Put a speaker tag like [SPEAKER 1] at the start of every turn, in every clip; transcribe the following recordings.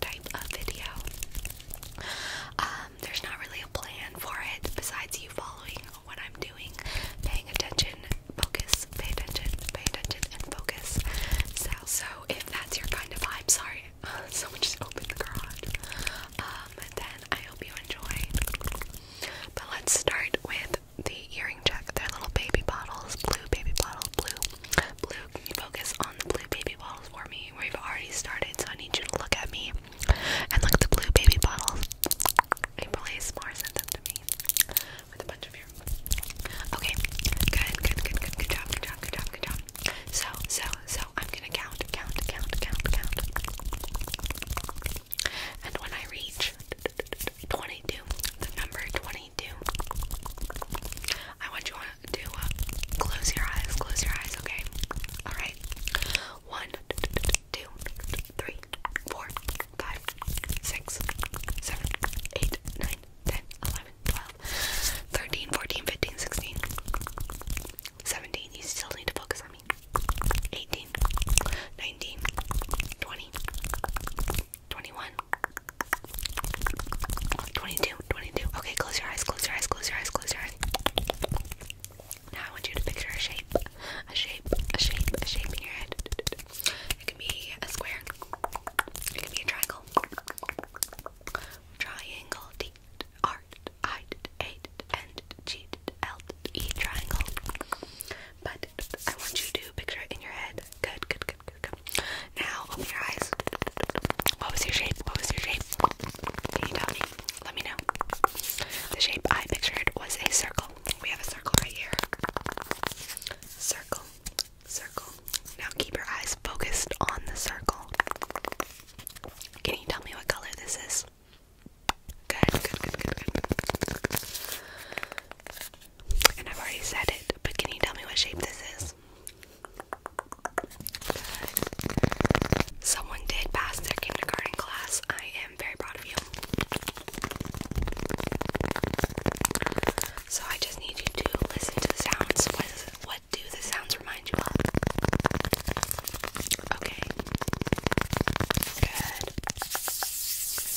[SPEAKER 1] type of video. Um, there's not really a plan for it besides you following what I'm doing, paying attention, focus, pay attention, pay attention, and focus. So, so if that's your kind of vibe, sorry, someone just opened the garage. Um, then I hope you enjoy. But let's start with the earring check. They're little baby bottles, blue baby bottles, blue. Blue, focus on the blue baby bottles for me? We've already started, so I need you to look at me and look at the blue baby bottles. April ASMR sent them with a bunch of your. Okay, good, good, good, good, good job, good job, good job, good job. So, so, so, I'm gonna count, count, count, count, count. And when I reach 22, the number twenty. I want you to uh, close your eyes, close your eyes, okay? Alright. One, two, three, four, five, six, seven, eight, nine, ten, eleven, twelve, thirteen, fourteen, fifteen, sixteen, seventeen. You still need to focus on me. 18, 22, 22. Okay, close your eyes, close your eyes, close your eyes, close your eyes. Now I want you to picture a shape, a shape, a shape, a shape in your head. It can be a square, it can be a triangle. Triangle, D, R, I, A, N, G, L, E, triangle. But I want you to picture it in your head. Good, good, good, now open your eyes. What was your shape? What was your shape? Can you tell me? Let me know. The shape I pictured was a circle. We have a circle right here. Circle, circle. Now keep your eyes focused on the circle. Can you tell me what color this is? good. And I've already said it, but can you tell me what shape this is? Someone did pass their kindergarten class. I am very proud of you. So I just need you to listen to the sounds. what do the sounds remind you of? Okay. Good.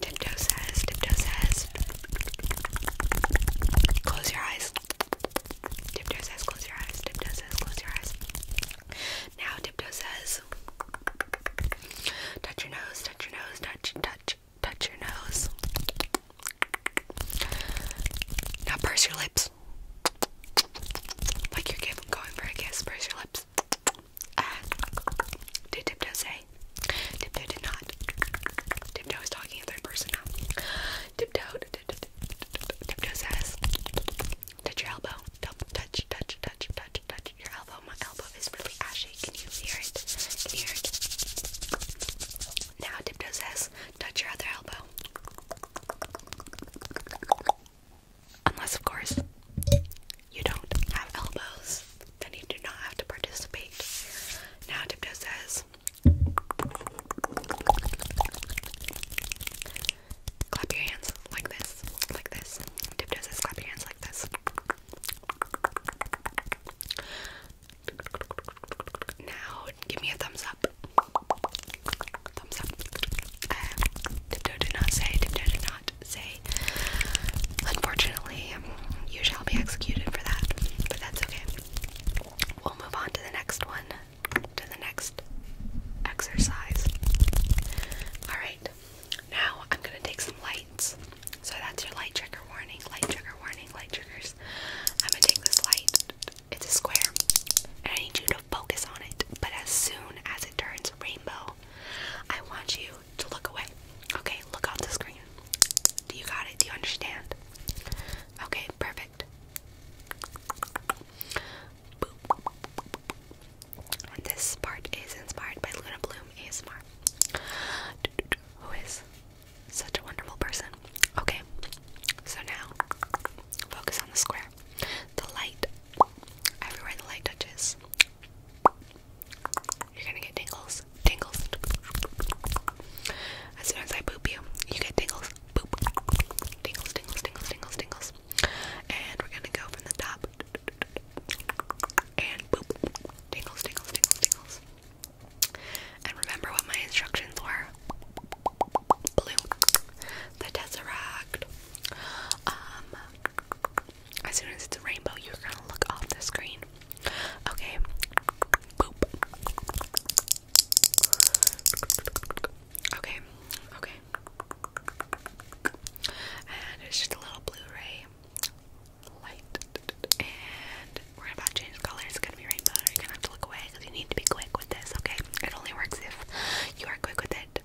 [SPEAKER 1] Tiptoe says, Tiptoe says, close your eyes. Tiptoe says, close your eyes. Tiptoe says, close your eyes. Now, Tiptoe says, touch your nose, touch your nose, touch, touch, touch your nose. Now, purse your lips. Like you're going for a kiss, purse your lips. Uh, did Tiptoe say? Tiptoe did not. Tiptoe is talking in third person now. Tiptoe, Tiptoe says, touch your elbow. Touch, touch, touch, touch, touch your elbow. My elbow is really ashy. Can you hear it? Can you hear it? Now Tiptoe says, touch your other elbow. Unless, of course, you don't have elbows, then you do not have to participate. Now, Tiptoe says, clap your hands like this, like this. Tiptoe says, clap your hands like this. Now, give me a thumbs up. Thumbs up. Uh, Tiptoe did not say, Tiptoe did not say. Unfortunately, you shall be executed for that, but that's okay. We'll move on to the next one, to the next exercise. Alright, now I'm gonna take some lights. So that's your light trigger warning, light trigger warning, light triggers. I'm gonna take this light, it's a square, and I need you to focus on it. But as soon as it turns rainbow, I want you to look away. Okay, look off the screen. Do you got it? Do you understand? Okay, perfect. this part is inspired by Luna Bloom ASMR, who is such a wonderful person. Okay, so now focus on the square. The light, everywhere the light touches, you're gonna get tingles. Tingles. As soon as I boop you, you get tingles. Boop. Tingles, tingles, tingles, tingles, tingles. And we're gonna go from the top. And boop. Tingles, tingles, tingles, tingles. And remember what my instructions were. Blue. The Tesseract. Um as soon as it's a rainbow, you're gonna look off the screen. Okay. Boop. Okay. Okay. And it's just a little Blu-ray light. And we're about to change colors. It's gonna be rainbow. You're gonna have to look away because you need to be quick with this, okay? It only works if you are quick with it.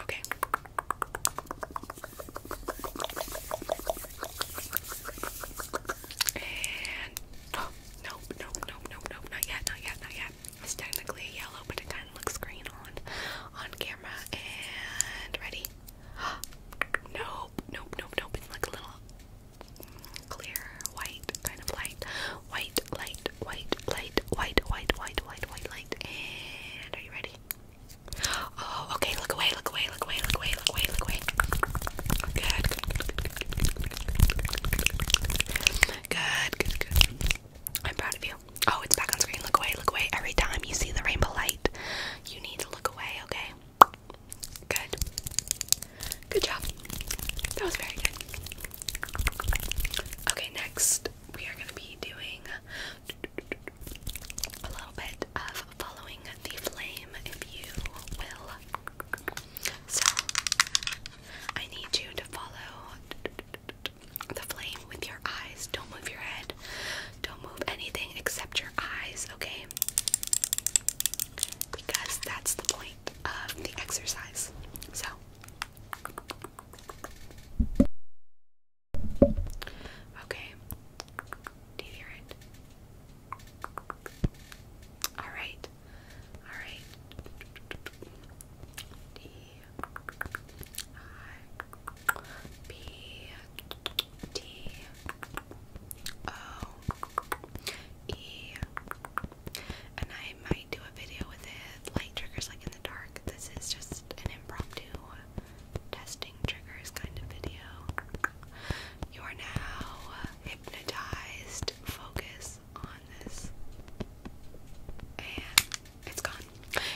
[SPEAKER 1] Okay. And nope, nope, nope, nope, nope, not yet, not yet, not yet. It's technically yellow, but it kind of looks green on on camera. And ready? nope, nope, nope, nope. It's like a little clear white kind of light white light, white light, white, white, white, white, white light. And are you ready? Oh, okay. Look away, look away, look away, look away, look away, look away. Good. Good, good, good. I'm proud of you. Oh, it's back on screen. Look away, look away. Every time you see the rainbow light, you need to look away, okay? Good. Good job. That was very good. Okay, next we are going to be doing a little bit of following the flame, if you will. So, I need you to follow the flame with your eyes. Don't move your head. Don't move anything except your eyes, okay? Because that's the point of the exercise. So, Okay. Do you All right. All right. D I B T O E and I might might do a video with it, light triggers like in the dark. This is just an impromptu testing triggers kind of video. You are now hypnotized. Focus on this. And it's gone.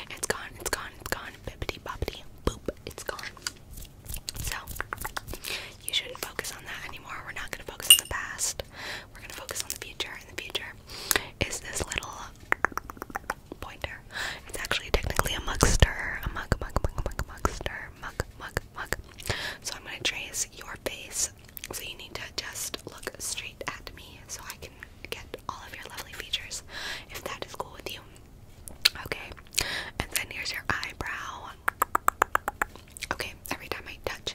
[SPEAKER 1] It's gone. It's gone. It's gone. Bippity boppity boop. It's gone. So, you shouldn't focus on that anymore. We're not going to focus on the past. We're going to focus on the future. In the future, is this little pointer. It's actually technically a mugster, a mug, mug, mug, mug, mugster, mug, mug, mug. So I'm gonna trace your face. So you need to just look straight at me so I can get all of your lovely features, if that is cool with you. Okay, and then here's your eyebrow. Okay, every time I touch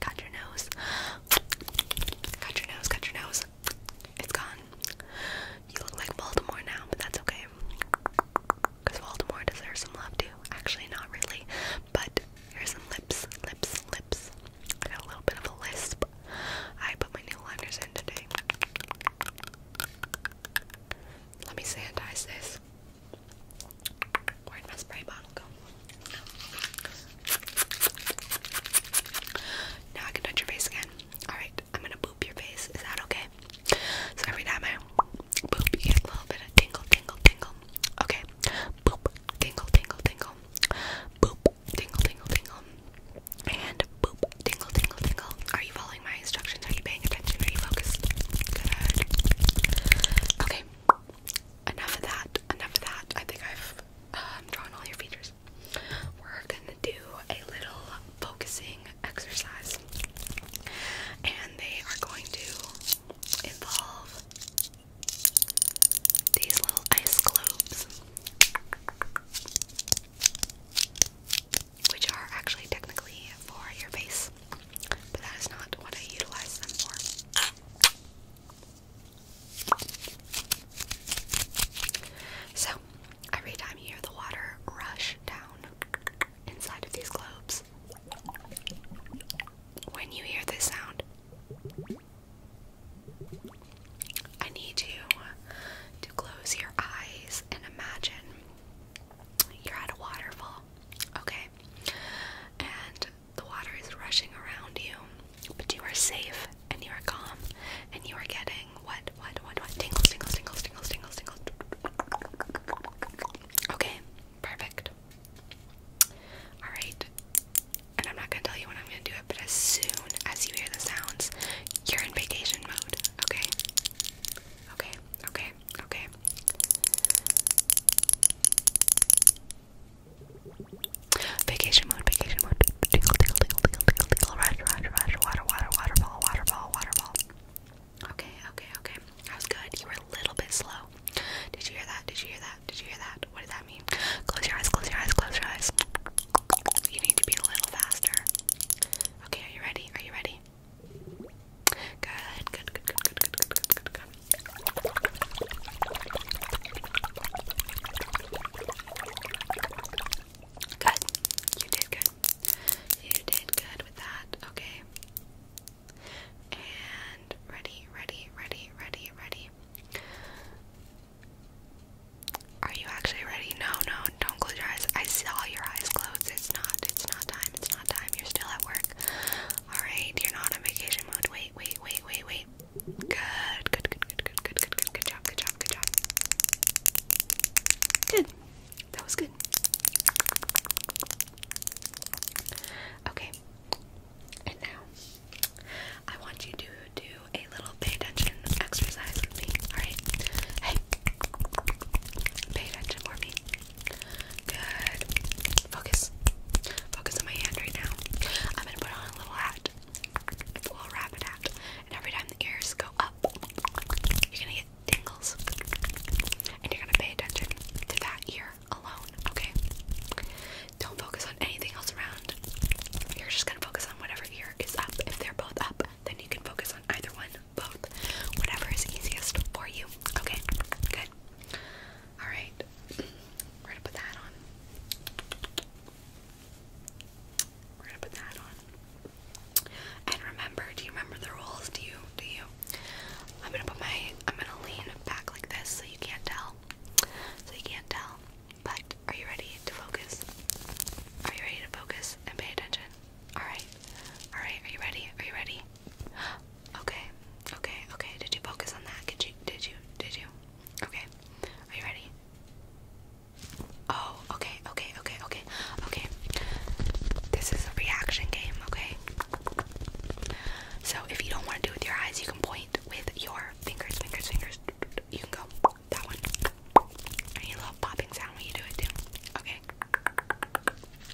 [SPEAKER 1] Got your nose. Got your nose, got your nose. It's gone. You look like Baltimore now, but that's okay. Because Baltimore deserves some love too. Actually, not really. But here's some lips, lips, lips. I got a little bit of a lisp. I put my new liners in today. Let me sanitize this. where my spray bottle now I can touch your face again. Alright, I'm gonna boop your face. Is that okay? So every time I boop, you get a little bit of tingle, tingle, tingle. Okay. Boop, tingle, tingle, tingle. Boop, tingle, tingle, tingle. And boop, tingle, tingle, tingle. Are you following my instructions? Are you paying attention? Are you focused? Good. Okay. Enough of that. Enough of that. I think I've I'm um, drawing all your features. We're gonna do a little focusing exercise, and they are going to involve these little ice globes, which are actually technically for your face, but that is not what I utilize them for. So, every time you hear the water rush down inside of these globes, when you hear this sound, I need you to close your eyes and imagine you're at a waterfall, okay? And the water is rushing around you, but you are safe and you are calm and you are getting what, what, what, what? Tingles, tingles, tingles, tingles, tingles, tingles. Okay, perfect. Alright, and I'm not gonna tell you when I'm gonna do it, but as soon as you hear the sounds, you're in vacation mode, okay? Okay, okay, okay. Vacation mode, vacation mode. Tingle, tingle, tingle, tingle, tingle, tingle. Rush, rush, rush. Water, water, waterfall, waterfall, waterfall. Okay, okay, okay. That was good. You were a little bit slow. Did you hear that? Did you hear that? Did you hear that? What did that mean? Close your eyes, close your eyes, close your eyes. You need to be a little faster. Okay, are you ready? Are you ready? Good, good, good, good, good, good, good, good, good, good. Good. You did good. You did good with that. Okay. And ready, ready, ready, ready, ready. Are you actually ready? No, no, don't close your eyes. I saw your eyes closed. It's not, it's not time, it's not time. You're still at work. Alright, you're not on vacation mode. Wait, wait wait, wait, wait, Good, good, good, good, good, good, good, good, good job, good job, good job. Good. That was good. Okay. And now I want you to do a little pay attention exercise with me. Alright? Hey. Pay attention for me. Good. Focus. Focus on my hand right now. I'm gonna put on a little hat. a little rabbit hat. And every time the ears go up, you're gonna get tingles. And you're gonna pay attention to that ear alone, okay? Don't focus on anything else around. You're just gonna focus on whatever ear is up. If they're both up, then you can focus on either one, both. Whatever is easiest for you. Okay? Good. Alright, we're gonna put that on. We're gonna put that on. And remember, do you remember the rules? Do you? Do you? I'm gonna put my, I'm gonna lean back like this so you can't tell. So you can't tell. But are you ready to focus? Are you ready to focus and pay attention? Alright. Alright, are you ready? Are you ready? Okay, okay, okay. Did you focus on that? Did you? Did you? Did you? Okay. Are you ready? Oh, okay, okay, okay, okay, okay. This is a reaction game, okay? So if you don't want to do it with your eyes, you can point with your fingers, fingers, fingers. You can go that one. I need a little popping sound when you do it too. Okay.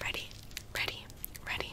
[SPEAKER 1] Ready, ready, ready.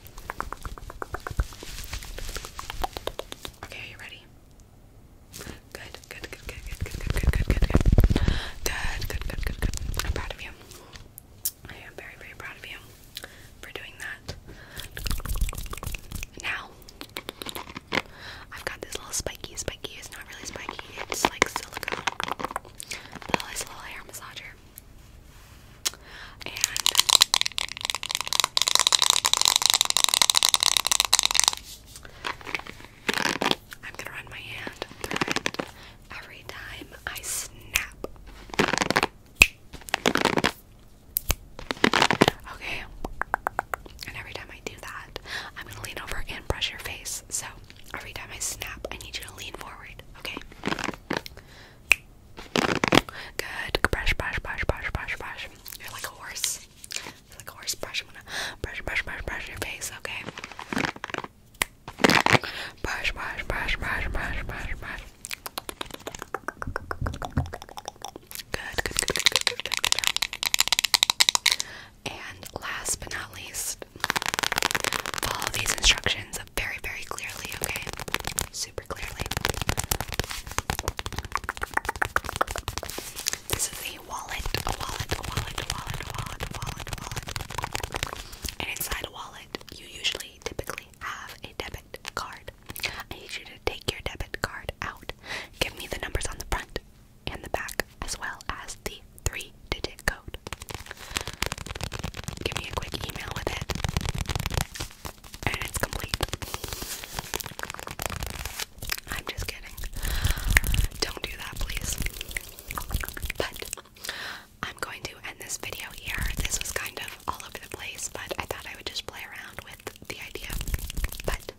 [SPEAKER 1] Okay, you ready? Good, good, good, good, good, good, good, good, good, good, good. Good, good, good, I'm proud of you. I am very, very proud of you for doing that. Now, I've got this little spiky, spiky. It's not really spiky, it's like silicone. But little hair massager. And I'm gonna run my hand every time I snap. Okay. And every time I do that, I'm gonna lean over and brush your face. So every time I snap, I need you to lean forward. Okay? Good. Brush, brush, brush, brush, brush, brush. You're like a horse. You're like a horse. Brush. I'm gonna brush, brush, brush, brush your face. Okay. Brush, brush, brush, brush, brush, brush, brush. Good, good, good, good, good, good, good, good. And last but not least, next. Follow these instructions very, very clearly, okay? Super clearly. This is a wallet, a wallet, a wallet, a wallet, a wallet, a wallet, a wallet. And inside a wallet, you usually typically have a debit card. I need you to take your debit card out. Give me the numbers on the front and the back, as well as the three digit code. Give me a quick email with it. And it's complete. I'm just kidding. Don't do that, please. But I'm going to end this video here. This was kind of all over the place, but I thought I would just play around with the idea. But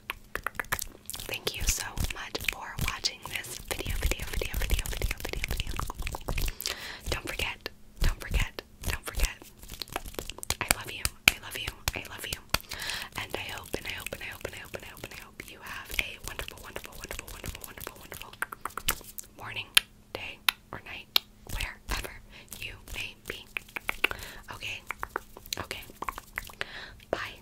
[SPEAKER 1] thank you so much for watching this video, video, video, video, video, video, video. Don't forget, don't forget, don't forget. I love you, I love you, I love you. And I hope, and I hope, and I hope, and I hope, and I hope, and I hope you have a wonderful, wonderful, wonderful, wonderful, wonderful, wonderful morning, day, or night, wherever you may be. Okay, okay. Bye.